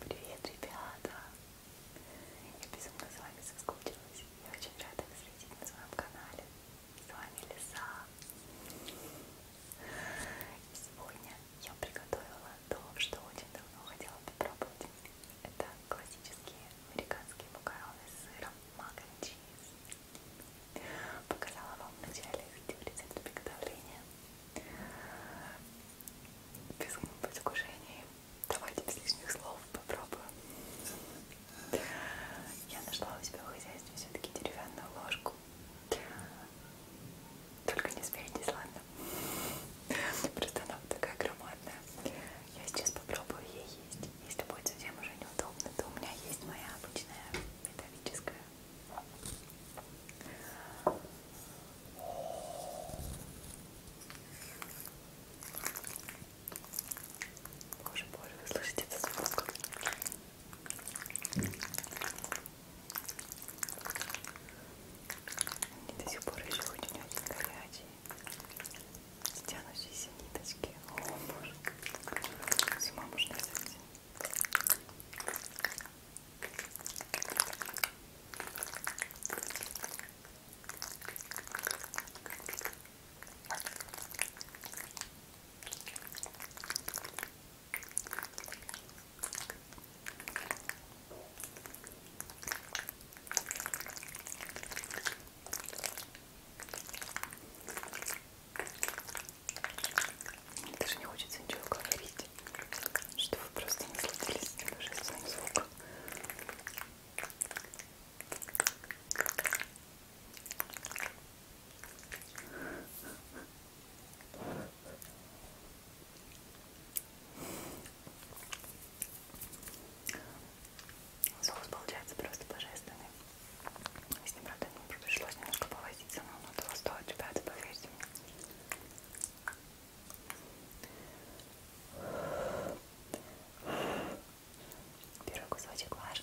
Привет, ребята! Я безумно с вами соскучилась. Я очень рада вас видеть на своем канале. С вами Лиса. И сегодня я приготовила то, что очень давно хотела попробовать. Это классические американские макароны с сыром Mac and Cheese. Показала вам в начале рецепт приготовления. Без предвкушений. Давайте без лишних слов попробуем. Я нашла у себя в хозяйстве все-таки деревянную ложку только не смейтесь, ладно? Просто она вот такая громадная. Я сейчас попробую ее есть. Если будет совсем уже неудобно, то у меня есть моя обычная металлическая. Боже, боже, вы слышите этот звук? Они до сих пор еще очень-очень горячие. Стянущиеся ниточки. О, боже. С ума можно сойти. Ой, даже не хочется ничего говорить, что вы просто насладились божественным звуком. Соус получается просто божественный. С ним, правда, мне пришлось немножко повозиться, но оно того стоит, ребята, поверьте мне. Первый кусочек ваш.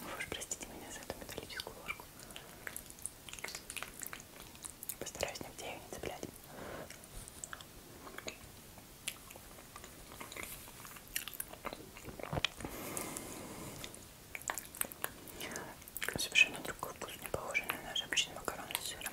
Вы уж простите меня за эту металлическую ложку. Постараюсь нигде ее не цеплять. Совершенно другой вкус, не похожий на наш обычный макарон с сыром.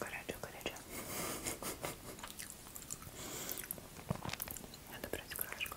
Горячо, горячо. Надо брать крышку.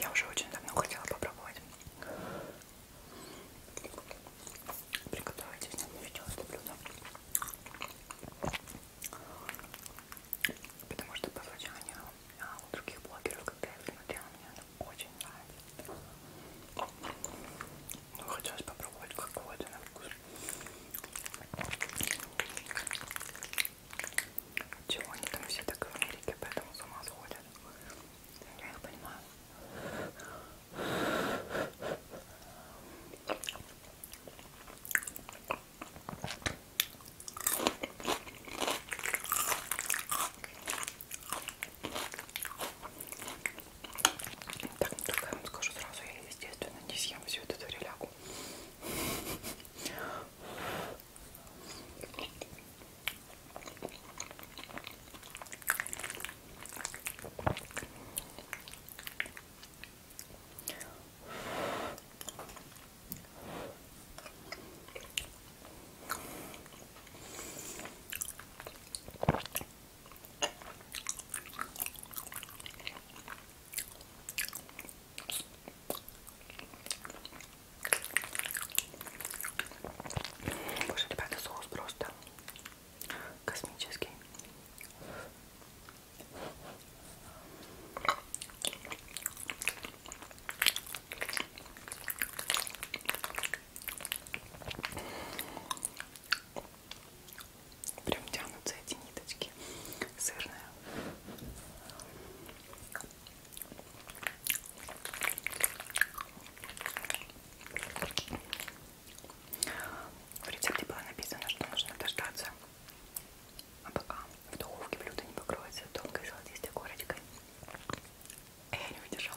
Я уже очень давно хотела попробовать приготовить видео это блюдо. Потому что по звучанию а, у других блогеров, когда я их смотрела, мне она очень нравится. Ну, хотелось попробовать какой-то на вкус. Чего они там все так в Америке, поэтому с ума сходят. Я их понимаю. Так, ну только я вам скажу сразу, я, естественно, не съем всю эту релягу. Боже, ребята, соус просто космический. Прям тянутся эти ниточки сырные. В рецепте было написано, что нужно дождаться, а пока в духовке блюдо не покроется тонкой золотистой корочкой. А я не выдержала.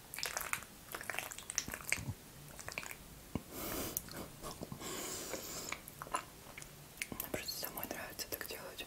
Мне просто самой нравится так делать.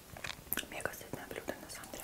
Мега сытное блюдо на самом деле.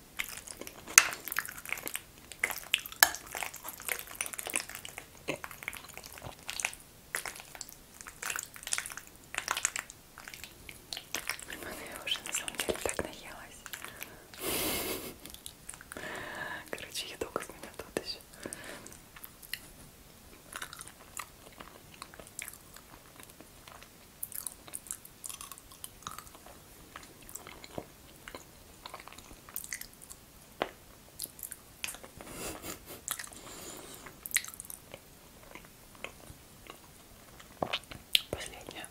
Я уже на самом деле так наелась. Короче, я долго с меня тут еще. Последняя.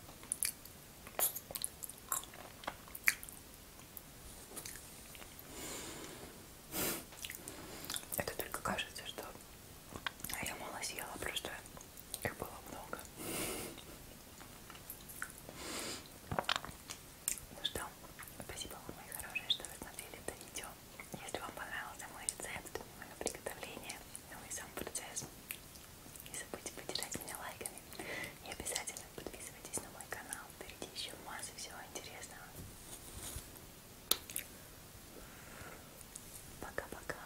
Это только кажется, что я мало съела, просто их было много. Ну что, спасибо вам, мои хорошие, что вы смотрели это видео. Если вам понравился мой рецепт, мое приготовление, ну и сам процесс, не забудьте поддержать меня лайками. И обязательно подписывайтесь на мой канал. Впереди еще масса всего интересного. Пока-пока.